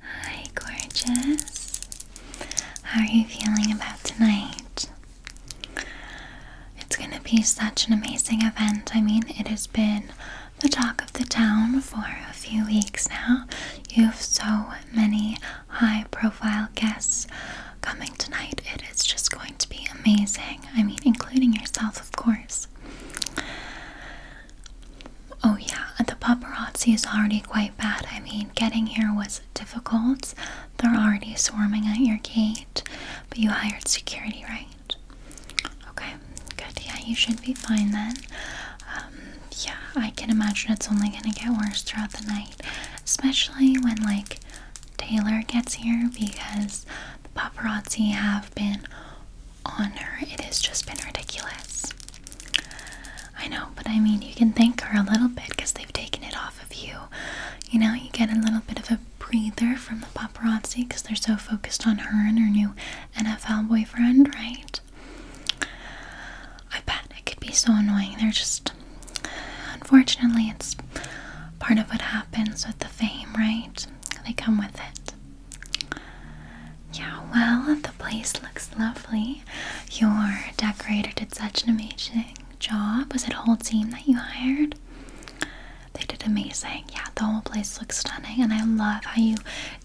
Hi, gorgeous. How are you feeling about tonight? It's going to be such an amazing event. I mean, it has been the talk of the town for a few weeks now. You have so many high profile guests coming tonight. It is just going to be amazing. I mean, including yourself, of course. Oh, yeah, the paparazzi is already quite bad. I mean, getting here was difficult. They're already swarming at your gate, but you hired security, right? Okay, good. Yeah, you should be fine then. Um, yeah, I can imagine it's only gonna get worse throughout the night, especially when, like, Taylor gets here because the paparazzi have been on her, It has just been ridiculous. I know, but I mean, you can thank her a little bit because they've taken it off of you. You know, you get a little bit of a breather from the paparazzi because they're so focused on her and her new NFL boyfriend, right? I bet it could be so annoying. They're just, unfortunately, it's part of what happens with the fame, right? They come with it. Yeah, well, the place looks lovely. Your decorator did such an amazing job. Was it a whole team that you hired? They did amazing. Yeah, the whole place looks stunning, and I love how you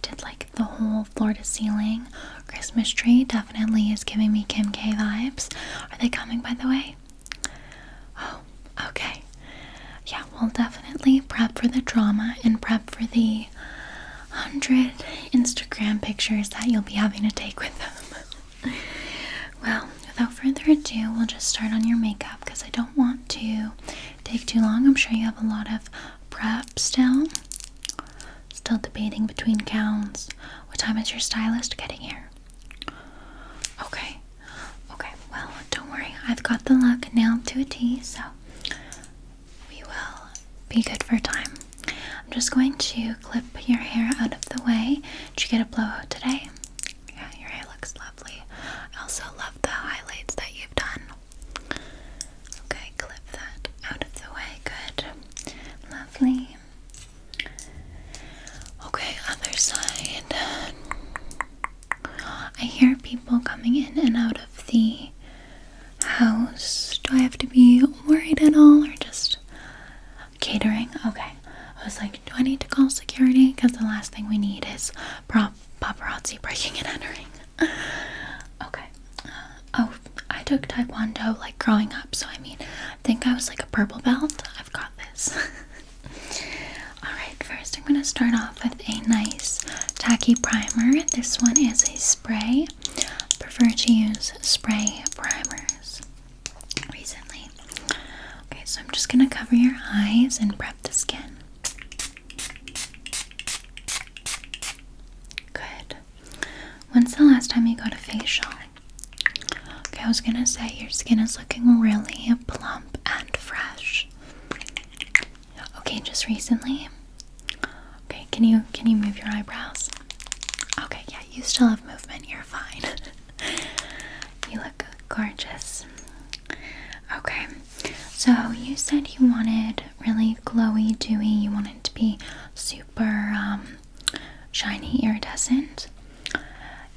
did like the whole floor to ceiling Christmas tree. Definitely is giving me Kim K vibes. Are they coming, by the way? Oh, okay. Yeah, we'll definitely prep for the drama and prep for the hundred Instagram pictures that you'll be having to take with them. well, without further ado, we'll just start on your makeup because I don't want to take too long. I'm sure you have a lot of prep still. Still debating between gowns. What time is your stylist getting here? Okay. Okay, well, don't worry. I've got the look nailed to a T, so we will be good for time. I'm just going to clip your hair out of the way. Did you get a blowout today? Yeah, your hair looks lovely. I also love the highlights that you've done. Okay, clip that out of the way. Good. Lovely. Okay, other side. I hear people coming in and out of the house? Do I have to be worried at all or just catering? Okay. I was like, do I need to call security? Because the last thing we need is paparazzi breaking and entering. okay. Uh, oh, I took Taekwondo like growing up, so I mean, I think I was like a purple belt. I've got this. Alright, first I'm going to start off with a nice tacky primer. This one is a spray prefer to use spray primers recently. Okay, so I'm just gonna cover your eyes and prep the skin. Good. When's the last time you got a facial? Okay, I was gonna say your skin is looking really plump and fresh. Okay, just recently. Okay, can you can you move your eyebrows? Okay, yeah, you still have movement. You're fine. you look gorgeous. Okay. So, you said you wanted really glowy, dewy. You wanted to be super um, shiny, iridescent.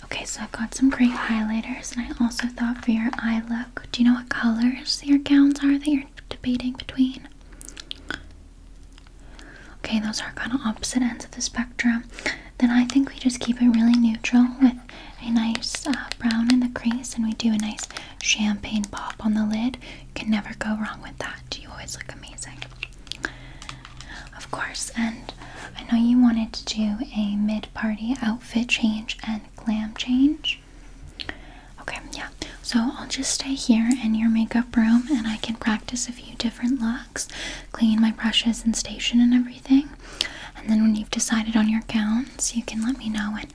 Okay, so I've got some great highlighters and I also thought for your eye look, do you know what colors your gowns are that you're debating between. Okay, those are kind of opposite ends of the spectrum. Then I think we just keep it really neutral with a nice uh, brown in the crease and we do a nice champagne pop on the lid. You can never go wrong with that. You always look amazing. Of course, and I know you wanted to do a mid party outfit change and glam change. Okay, yeah. So I'll just stay here in your makeup room and I can practice a few different looks, clean my brushes and station and everything. And then when you've decided on your gowns, you can let me know and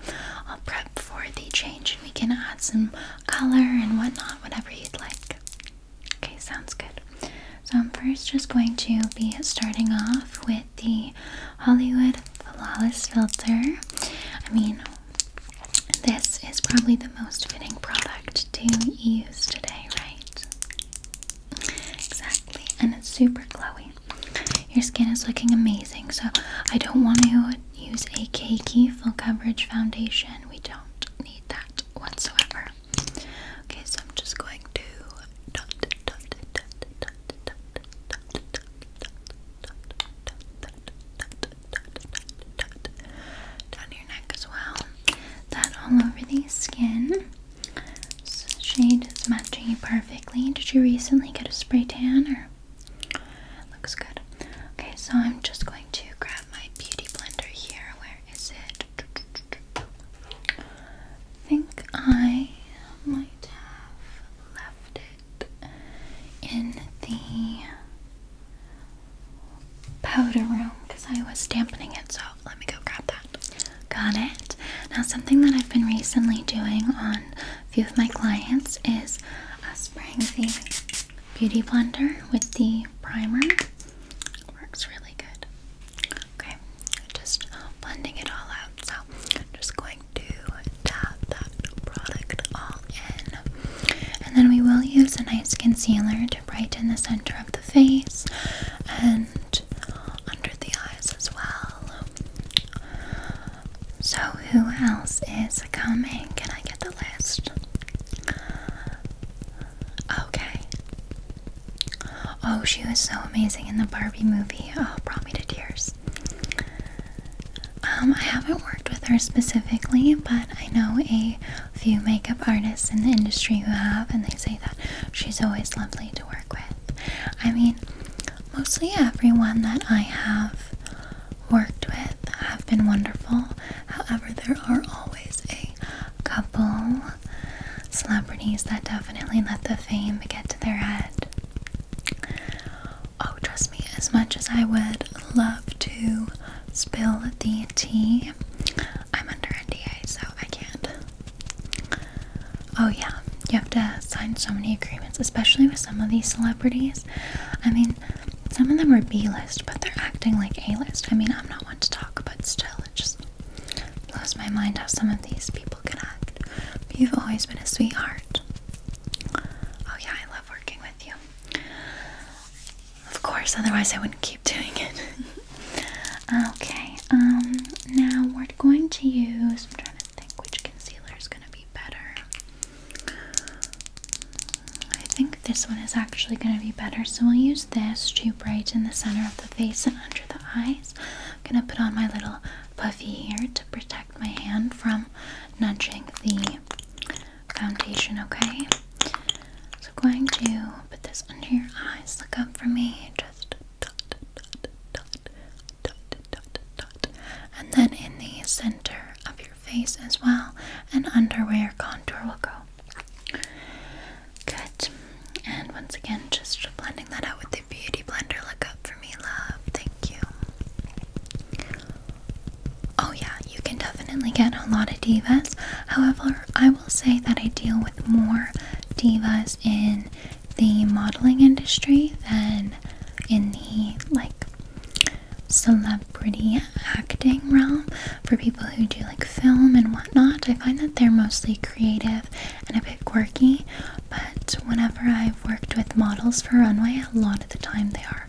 I'll prep for the change and we can add some color and whatnot, whatever you'd like. Okay, sounds good. So I'm first just going to be starting off with the Hollywood Flawless Filter. I mean, this is probably the most fitting product to use today, right? Exactly, and it's super glowy. Your skin is looking amazing, so I don't want to use a cakey full coverage foundation. We don't need that whatsoever. Okay, so I'm just going to down your neck as well. That all over the skin. This shade is matching you perfectly. Did you recently get a spray tan or? Looks good. Okay, so I'm just going to grab my beauty blender here. Where is it? I think I might have left in the powder room because I was dampening it, so let me go grab that. Got it. Now, something that I've been recently doing on a few of my clients is a Spring the beauty blender with the primer. Works really good. Okay, just blending it all out. So, I'm just going to tap that product all in. And then we will use a nice concealer to brighten the center of the face and under the eyes as well. So, who else is coming? Can I get the list? Okay. Oh, she was so amazing in the Barbie movie. Oh, brought me to tears. Um, I haven't worked with her specifically, but I know a few makeup artists in the industry who have, and they say that she's always lovely to work with. I mean, mostly everyone that I have worked with have been wonderful. However, there are always a couple celebrities that definitely let the fame get to their head. Oh, trust me, as much as I would love to spill the tea, I'm under NDA, so I can't. Oh, yeah, you have to sign so many agreements, especially with some of these celebrities. I mean, some of them are B list, but they're acting like A list. I mean, I'm not one to talk, but still, it just blows my mind how some of these people can act. you've always been a sweetheart. Oh, yeah, I love working with you. Of course, otherwise I wouldn't keep doing it. okay, um, now we're going to use. I'm trying to think which concealer is going to be better. I think this one is actually going to be better, so we'll use this to brighten the center of the face and under the eyes. I'm going to put on my little puffy here to protect my hand from nudging the foundation, okay? So I'm going to put this under your eyes. Look up for me. Just dot, dot, dot, dot, dot, dot. And then in the center of your face as well, and under where your contour will go. Good. And once again, just blending that out with the beauty blender. Look up for me, love. Thank you. Oh, yeah, you can definitely get a lot of divas. However, I will say that I deal with more divas in the modeling industry than in the like celebrity acting realm for people who do like film and whatnot. I find that they're mostly creative and a bit quirky, but whenever I've worked with models for runway, a lot of the time they are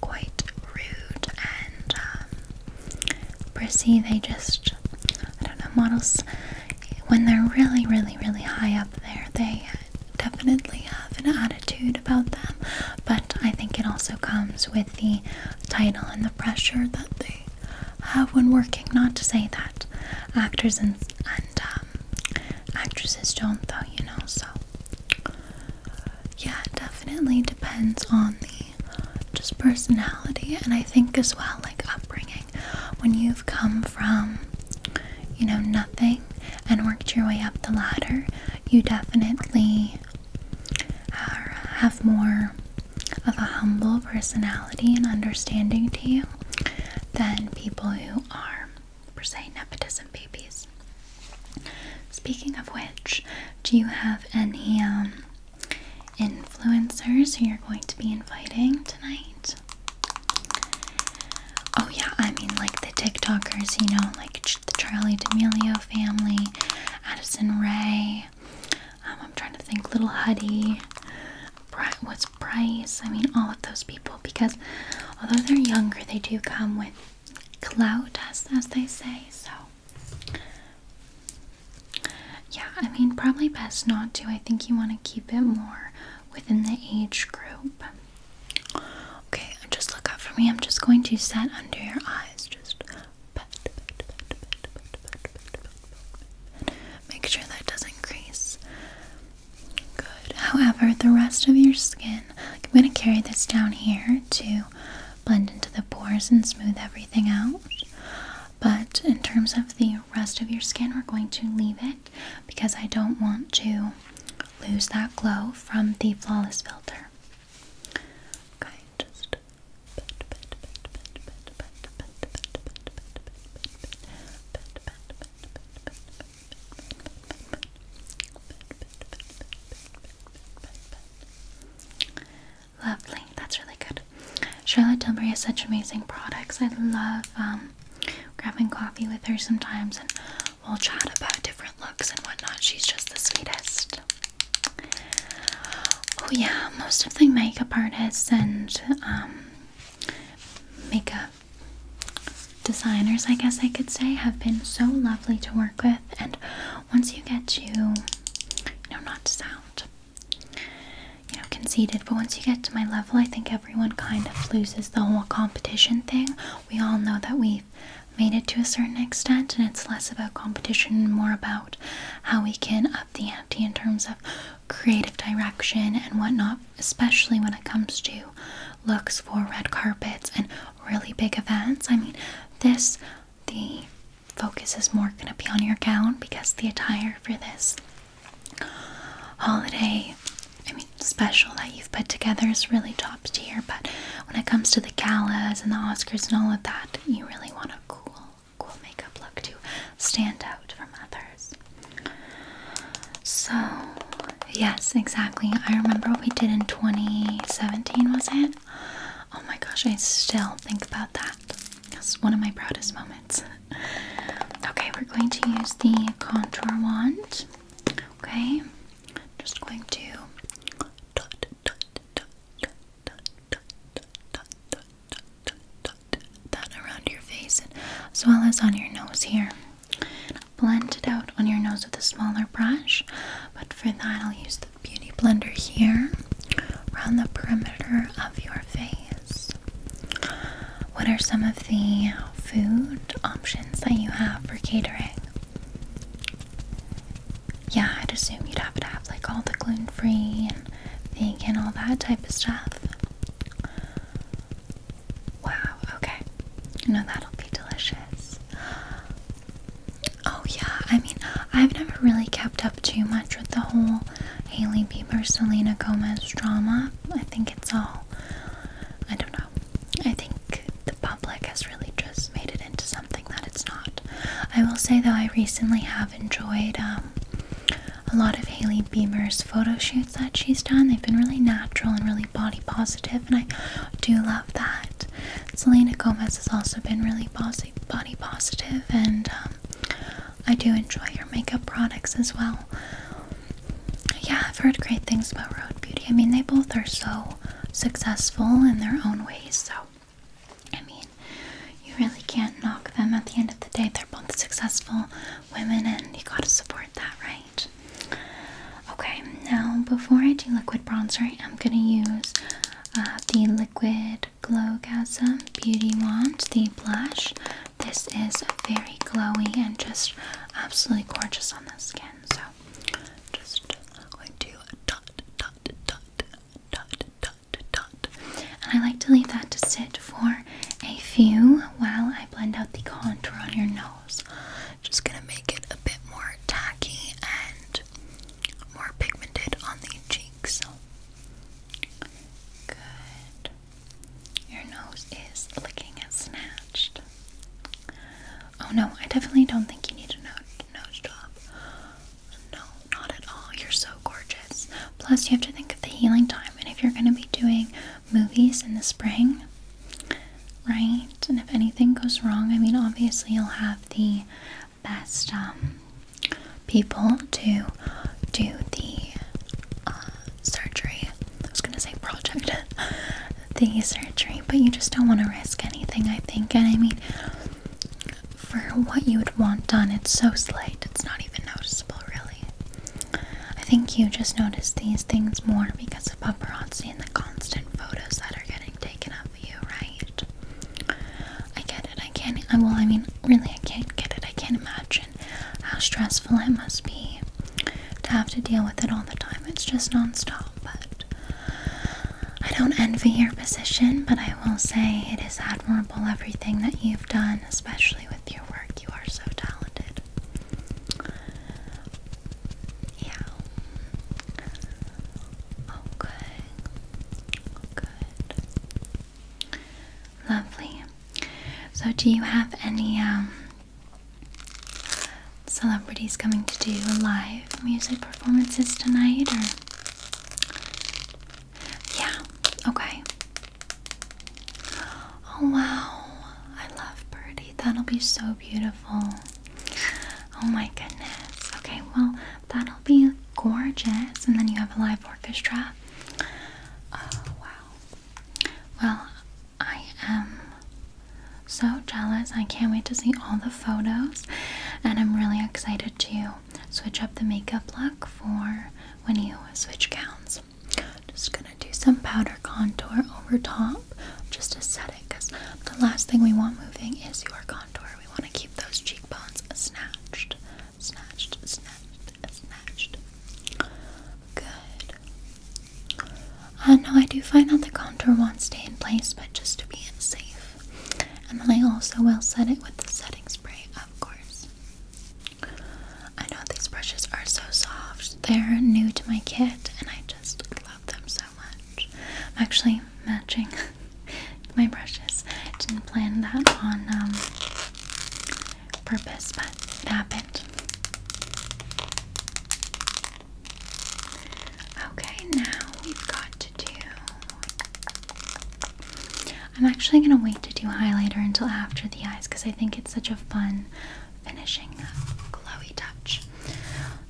quite rude and um, They just, I don't know, models, when they're really, really, really high up there, they definitely have an attitude about them. But I think it also comes with the title and the pressure that they have when working. Not to say that actors and, um, actresses don't, though, you know, so yeah, definitely depends on the just personality, and I think as well, like upbringing. When you've come from, you know, nothing and worked your way up the ladder, you definitely have more of a humble personality and understanding to you than people who are per se nepotism babies. Speaking of which, do you have any um, influencers you're going to be inviting tonight? Oh, yeah, I mean, like the TikTokers, you know, like the Charlie D'Amelio family, Addison Ray. Um, I'm trying to think, Little Huddy, Bri what's Bryce? I mean, all of those people because although they're younger, they do come with cloud as, as they say so yeah i mean probably best not to i think you want to keep it more within the age group okay just look up for me i'm just going to set under your eyes just Make sure that doesn't crease. Good. However, the rest of your skin I'm going to carry this down here to blend into the pores and smooth everything out. But in terms of the rest of your skin, we're going to leave it because I don't want to lose that glow from the flawless filter. Okay, Lovely, that's really good. Charlotte Tilbury has such amazing products. I love um, grabbing coffee with her sometimes, and we'll chat about different looks and whatnot. She's just the sweetest. Oh, yeah, most of the makeup artists and um, makeup designers, I guess I could say, have been so lovely to work with. And once you get to, you know, not sound, you know, conceited, but once you get to my level, I think everyone kind of loses the whole competition thing. We all know that we've made it to a certain extent, and it's less about competition more about how we can up the ante in terms of creative direction and whatnot, especially when it comes to looks for red carpets and really big events. I mean, this, the focus is more going to be on your gown because the attire for this holiday, I mean, special that you've put together is really top tier. But when it comes to the galas and the Oscars and all of that, you really want a cool, cool makeup look to stand out from others. So Yes, exactly. I remember what we did in 2017, was it? Oh my gosh, I still think about that. That's one of my proudest moments. Okay, we're going to use the contour wand. Okay, just going to dot, dot, dot, dot, dot, dot, dot, dot, dot, dot, dot that around your face, as well as on your nose here blend it out on your nose with a smaller brush. But for that, I'll use the beauty blender here around the perimeter of your face. What are some of the food options that you have for catering? Yeah, I'd assume you'd have to have like all the gluten free and vegan, all that type of stuff. Wow, okay. You that'll be delicious. Oh yeah, I mean, I've never really kept up too much with the whole Haley Bieber, Selena Gomez drama. I think it's all, I don't know. I think the public has really just made it into something that it's not. I will say though, I recently have enjoyed um, a lot of Haley Bieber's photo shoots that she's done. They've been really natural and really body positive, and I do love that. Selena Gomez has also been really body positive, and um, I do enjoy your makeup products as well. Yeah, I've heard great things about Road Beauty. I mean, they both are so successful in their own ways, so I mean, you really can't knock them at the end of the day. They're both successful women, and you gotta support that, right? Okay, now before I do liquid bronzer, I'm gonna use uh, the Liquid Glow Gasm Beauty Wand, the blush. This is very glowy and just absolutely gorgeous on the skin. So, just going to dot, dot, dot, dot, dot, dot. And I like to leave that to sit for a few while I blend out the contour on your nose. Just gonna make it a bit more tacky and more pigmented on the cheeks. Good. Your nose is looking and snatched. Oh no, I definitely don't think you need a no nose job. No, not at all. You're so gorgeous. Plus, you have to think of the healing time, and if you're going to be doing movies in the spring, right? And if anything goes wrong, I mean, obviously, you'll have the best um, people to do the uh, surgery. I was gonna say project, the surgery, but you just don't want to risk anything, I think. And I mean, for what you would want done, it's so slight, it's not even noticeable, really. I think you just notice these things more because of paparazzi and the constant photos that are getting taken up you, right? I get it. I can't. I, uh, well, I mean, really, I can't get it. I can't imagine how stressful it must be to have to deal with it all the time. It's just nonstop. But I don't envy your position, but I will say it is admirable everything that you've done, especially with your work. You are so talented. Yeah. Oh, good. Oh, good. Lovely. So, do you have any um, celebrities coming to do live music performances tonight? Or yeah. Okay. Oh wow! I love Birdie. That'll be so beautiful. Oh my goodness. Okay, well, that'll be gorgeous. And then you have a live orchestra. Oh, wow. Well, I am so jealous. I can't wait to see all the photos. And I'm really excited to switch up the makeup look for when you switch gowns. Just gonna do some powder contour over top just to set it because the last thing we want moving is your contour. We want to keep those cheekbones snatched, snatched, snatched, snatched. Good. Uh, no, I do find that the contour won't stay in place, but just to be safe. And then I also will set it with the setting spray, of course. I know these brushes are so soft. They're new to my kit, and I just love them so I'm actually matching my brushes. I Didn't plan that on um, purpose, but it happened. Okay, now we've got to do. I'm actually gonna wait to do highlighter until after the eyes because I think it's such a fun finishing uh, glowy touch.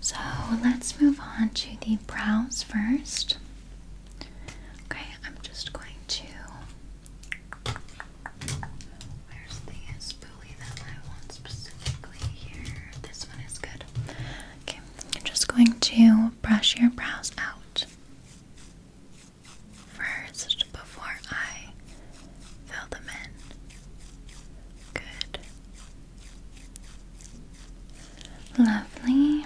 So let's move on to the brows first. Okay, I'm just going to. Where's the spoolie that I want specifically here? This one is good. Okay, I'm just going to brush your brows out first before I fill them in. Good. Lovely.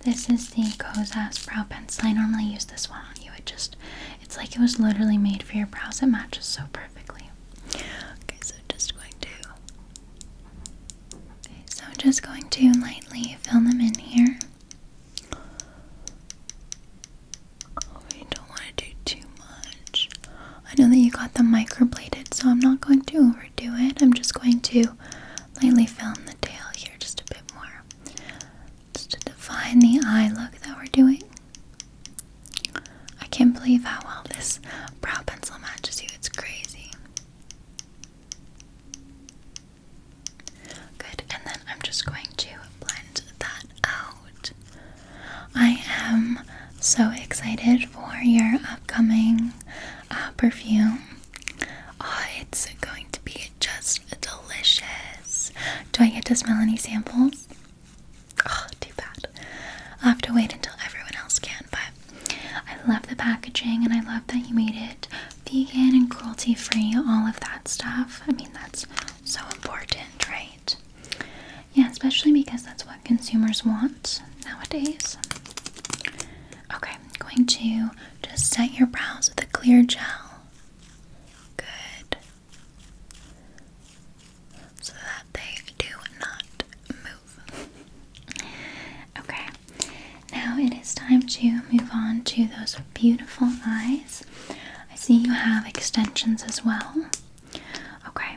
This is the Kozas brow pencil. I normally use this one on you. It just, it's like it was literally made for your brows. It matches so perfectly. Okay, so just going to, so just going to lightly fill them in here. Oh, don't want to do too much. I know that you got them microbladed, so I'm not going to overdo it. I'm just going to lightly fill in the tail here just a bit more. Just to define the eye look that we're doing. I can't believe how well this brow pencil matches you. It's crazy. Good, and then I'm just going to blend that out. I am so excited for your upcoming uh, perfume. Oh, it's going to be just delicious. Do I get to smell any samples? Oh, too bad. I'll have to wait until everyone else can, but I love the packaging and I love that you made it vegan and cruelty free, all of that stuff. I mean, that's so important, right? Yeah, especially because that's what consumers want nowadays. Okay, I'm going to just set your brows with a clear gel. Good. So that they do not move. Okay, now it is time to move on to those beautiful eyes. I see you have extensions as well. Okay,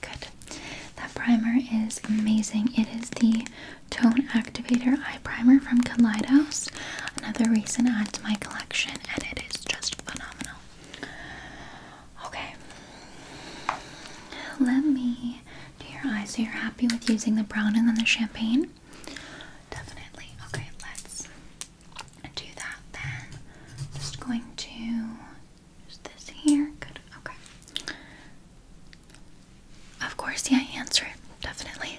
Good. That primer is amazing. It is the Tone Activator Eye Primer from Collide Another reason add to my collection, and it is just phenomenal. Okay. Let me do your eyes. So you're happy with using the brown and then the champagne? Definitely. Okay, let's do that then. Just going to use this here. Good. Okay. Of course, yeah, answer it. Definitely.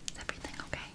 Is everything okay? close again.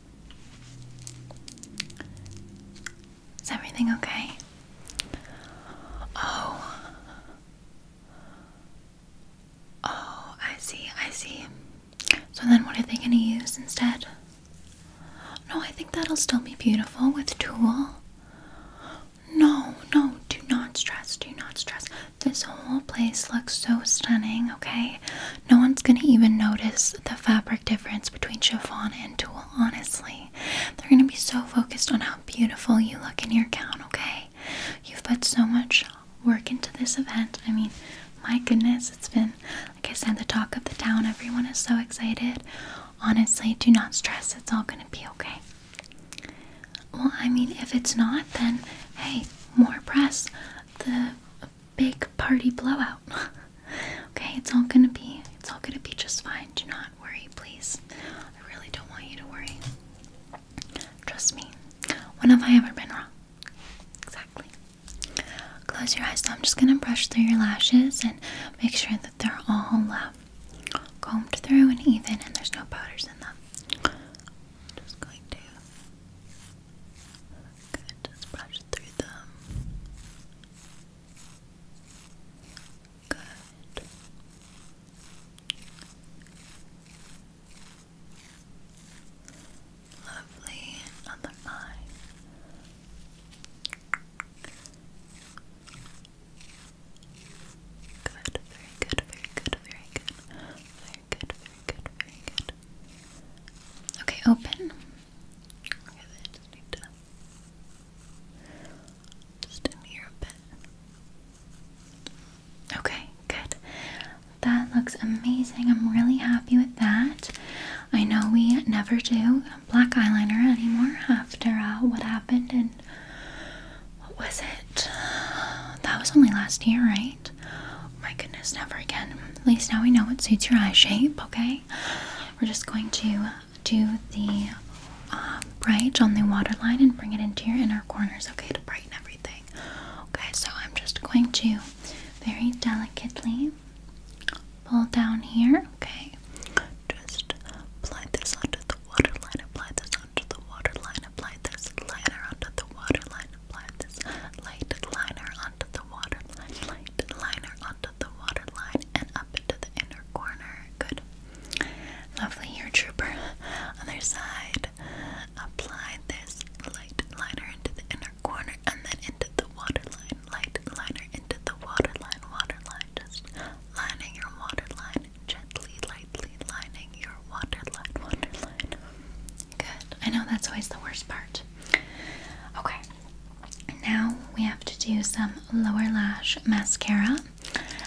Is everything okay? Oh. Oh, I see, I see. So then what are they gonna use instead? No, I think that'll still be beautiful with tulle. No, no, do not stress, do not stress. This whole place looks so stunning, okay? No one's gonna even notice the fabric difference between chiffon and tulle, honestly. They're gonna be so focused on how beautiful you look in your gown, okay? You've put so much work into this event. I mean, my goodness, it's been, like I said, the talk of the town. Everyone is so excited. Honestly, do not stress, it's all gonna be okay. Well, I mean, if it's not, then hey, more press. The big party blowout. okay, it's all gonna be it's all gonna be just fine. Do not worry, please. I really don't want you to worry. Trust me. When have I ever been wrong? Exactly. Close your eyes. So I'm just gonna brush through your lashes and make sure that they're all um, combed through and even, and there's no powders in them. Just going to just brush through them. Good. Lovely. Other eye. Good. Very good. Very good. Very good. Very good. Very good. Very good. Okay. Open just in here a bit. Okay, good. That looks amazing. I'm really happy with that. I know we never do black eyeliner anymore after uh, what happened and what was it? That was only last year, right? Oh my goodness, never again. At least now we know what suits your eye shape, okay? We're just going to do the uh, bridge on the waterline and bring it into your inner corners, okay, to brighten everything. Okay, so I'm just going to very delicately pull down here, okay? Just apply this onto the waterline, apply this onto the waterline, apply this liner onto the waterline, apply this light liner onto the waterline, light liner onto out the waterline and up into the inner corner. Good. Lovely your trooper. Other side. Apply this light liner into the inner corner and then into the waterline. Light liner into the waterline. Waterline. Just lining your waterline. Gently, lightly lining your waterline. Waterline. Good. I know that's always the worst part. Okay. Now we have to do some lower lash mascara,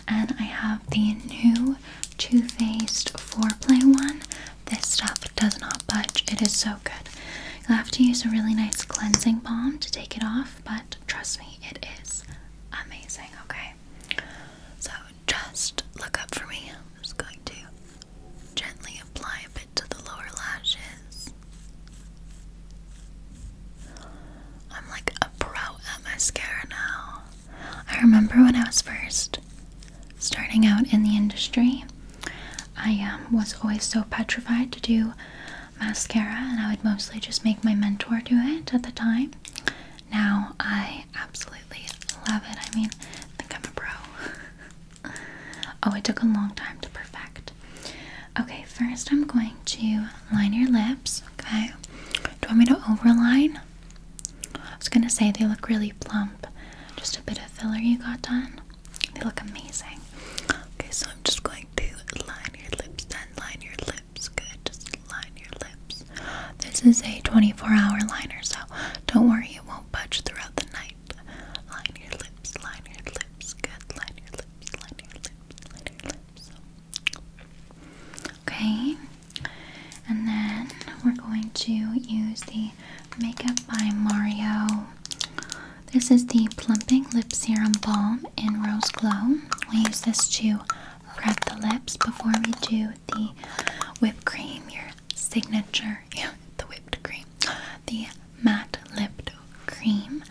and I have the new Too Faced Foreplay one. This stuff does not budge, it is so good. You'll have to use a really nice cleansing balm to take it off, but trust me, it is amazing, okay? So just look up for me. I'm just going to gently apply a bit to the lower lashes. I'm like a pro at mascara now. I remember when I was first starting out in the industry, I um, was always so petrified to do mascara, and I would mostly just make my mentor do it at the time. Now I absolutely love it. I mean, I think I'm a pro. Oh, it took a long time to perfect. Okay, first I'm going to line your lips, okay? Do you want me to overline? I was gonna say they look really plump. Just a bit of filler you got done. They look amazing. Okay, so I'm just going to line your lips then. Line your lips. Good. Just line your lips. This is a 24 hour liner, so don't worry, it won't budge throughout the night. Line your lips. Line your lips. Good. Line your lips. Okay, and then we're going to use the Makeup by Mario. This is the Plumping Lip Serum Balm in Rose Glow. We use this to prep the lips before we do the whipped cream, your signature, yeah, the whipped cream, the matte lip cream,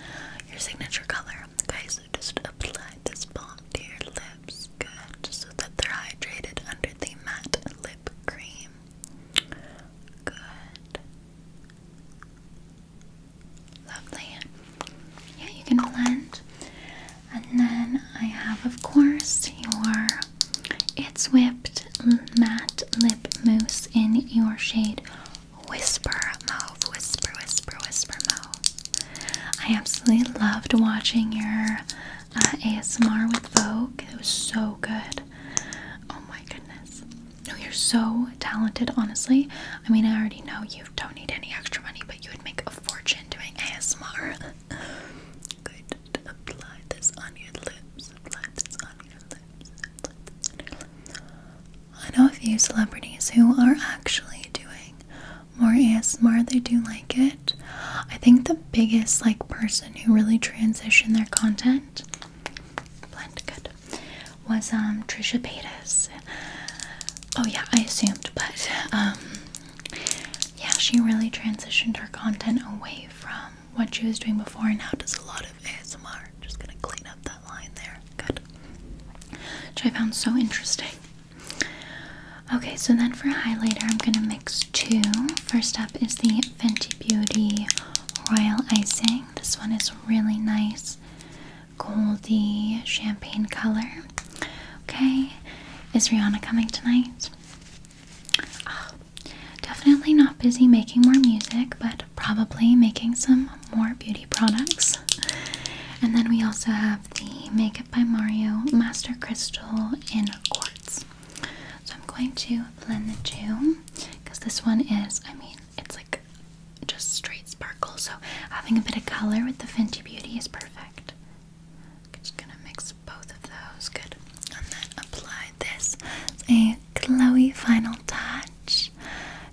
your signature color. guys. so just apply this balm to your lips, good, so that they're hydrated under the matte lip cream. Good. Lovely. Yeah, you can blend. And then I have, of course, your It's Whipped Matte Lip Mousse in your shade Whisper Mauve, Whisper, Whisper, Whisper Mauve. I absolutely loved watching your uh, ASMR with Vogue. It was so good. Oh my goodness. No, you're so talented, honestly. I mean, I already know you don't need any extra money, but you would make a fortune doing ASMR. good. Apply this on your lips. Apply this on your I know a few celebrities who are actually doing more ASMR. They do like it. I think the biggest like person who really transitioned their content, was um, Trisha Paytas. Oh yeah, I assumed, but um, yeah, she really transitioned her content away from what she was doing before. and Now does a lot of. ASMR. Just gonna clean up that line there. Good. Which I found so interesting. Okay, so then for highlighter, I'm gonna mix two. First up is the Fenty Beauty Royal Icing. This one is really nice, goldy champagne color. Okay, is Rihanna coming tonight? Ah, definitely not busy making more music, but probably making some more beauty products. And then we also have the Makeup by Mario Master Crystal in Quartz. So I'm going to blend the two because this one is, I mean, it's like just straight sparkle. So having a bit of color with the Fenty Beauty is perfect. just gonna mix both of those. Good. And then apply this. a glowy final touch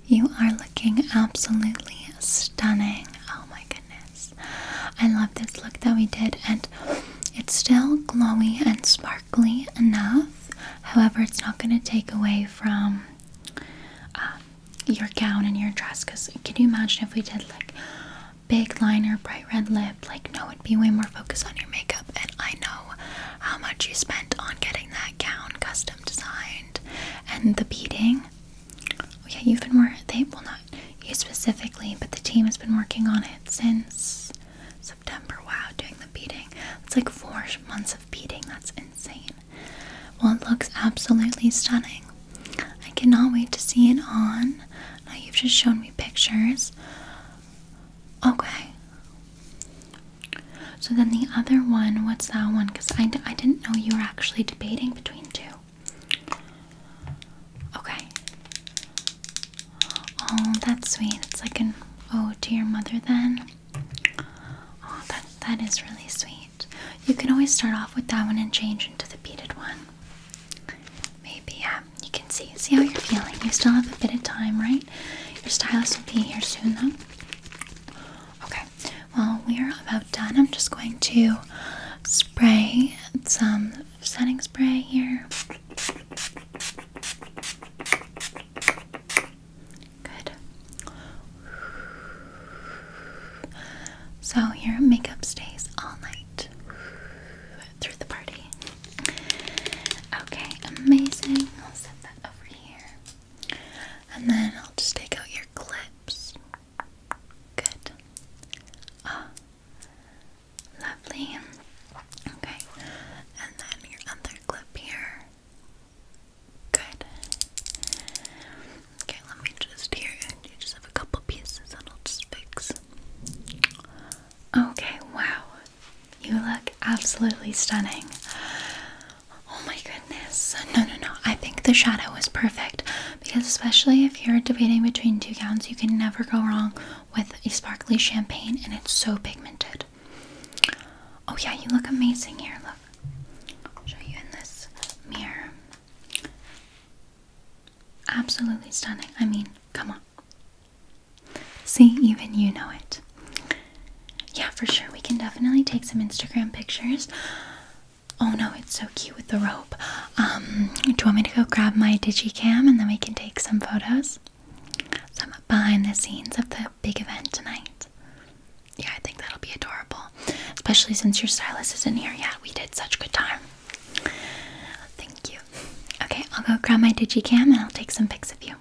you are looking absolutely stunning. Oh my goodness. I love this look that we did, and it's still glowy and sparkly enough. However, it's not going to take away from um, your gown and your dress. Because can you imagine if we did like big liner, bright red lip? Like, no, it'd be way more focused on your makeup. And I know how much you spent on getting that gown custom designed and the beading. Oh yeah, you've been working. They will not you specifically, but the team has been working on it since September. Wow, doing the beading. It's like four months of beading. That's insane. Well, it looks absolutely stunning. I cannot wait to see it on. Now you've just shown me pictures. Okay. So then the other one, what's that one? Because I, I didn't know you were actually debating between two. Okay. Oh, that's sweet. It's like an oh to your mother then. Oh, that, that is really sweet. You can always start off with that one and change into the beaded one. Maybe, yeah. Um, you can see. See how you're feeling. You still have a bit of time, right? Your stylus will be here soon, though. Okay, well, we are about done. I'm just going to spray some setting spray here. Good. So, your makeup stays all night through the party. Okay, amazing. I'll set that over here. And then I'll just take out your clips. Good. Ah, lovely. Okay, and then your other clip here. Good. Okay, let me just here. You just have a couple pieces and I'll just fix. Okay, wow. You look absolutely stunning. Oh my goodness. No, no, no. I think the shadow is perfect because, especially if you're debating between two gowns, you can never go wrong with a sparkly champagne and it's so pigmented. Oh, yeah, you look amazing here. Look, I'll show you in this mirror. Absolutely stunning. I mean, come on. See, even you know it. Yeah, for sure. We can definitely take some Instagram pictures. Oh no, it's so cute with the rope. Um, do you want me to go grab my digicam and then we can take some photos? Some behind the scenes of the big event tonight. Yeah, I think that'll be adorable. Especially since your stylist is not here. yet. we did such good time. Thank you. Okay, I'll go grab my digicam and I'll take some pics of you.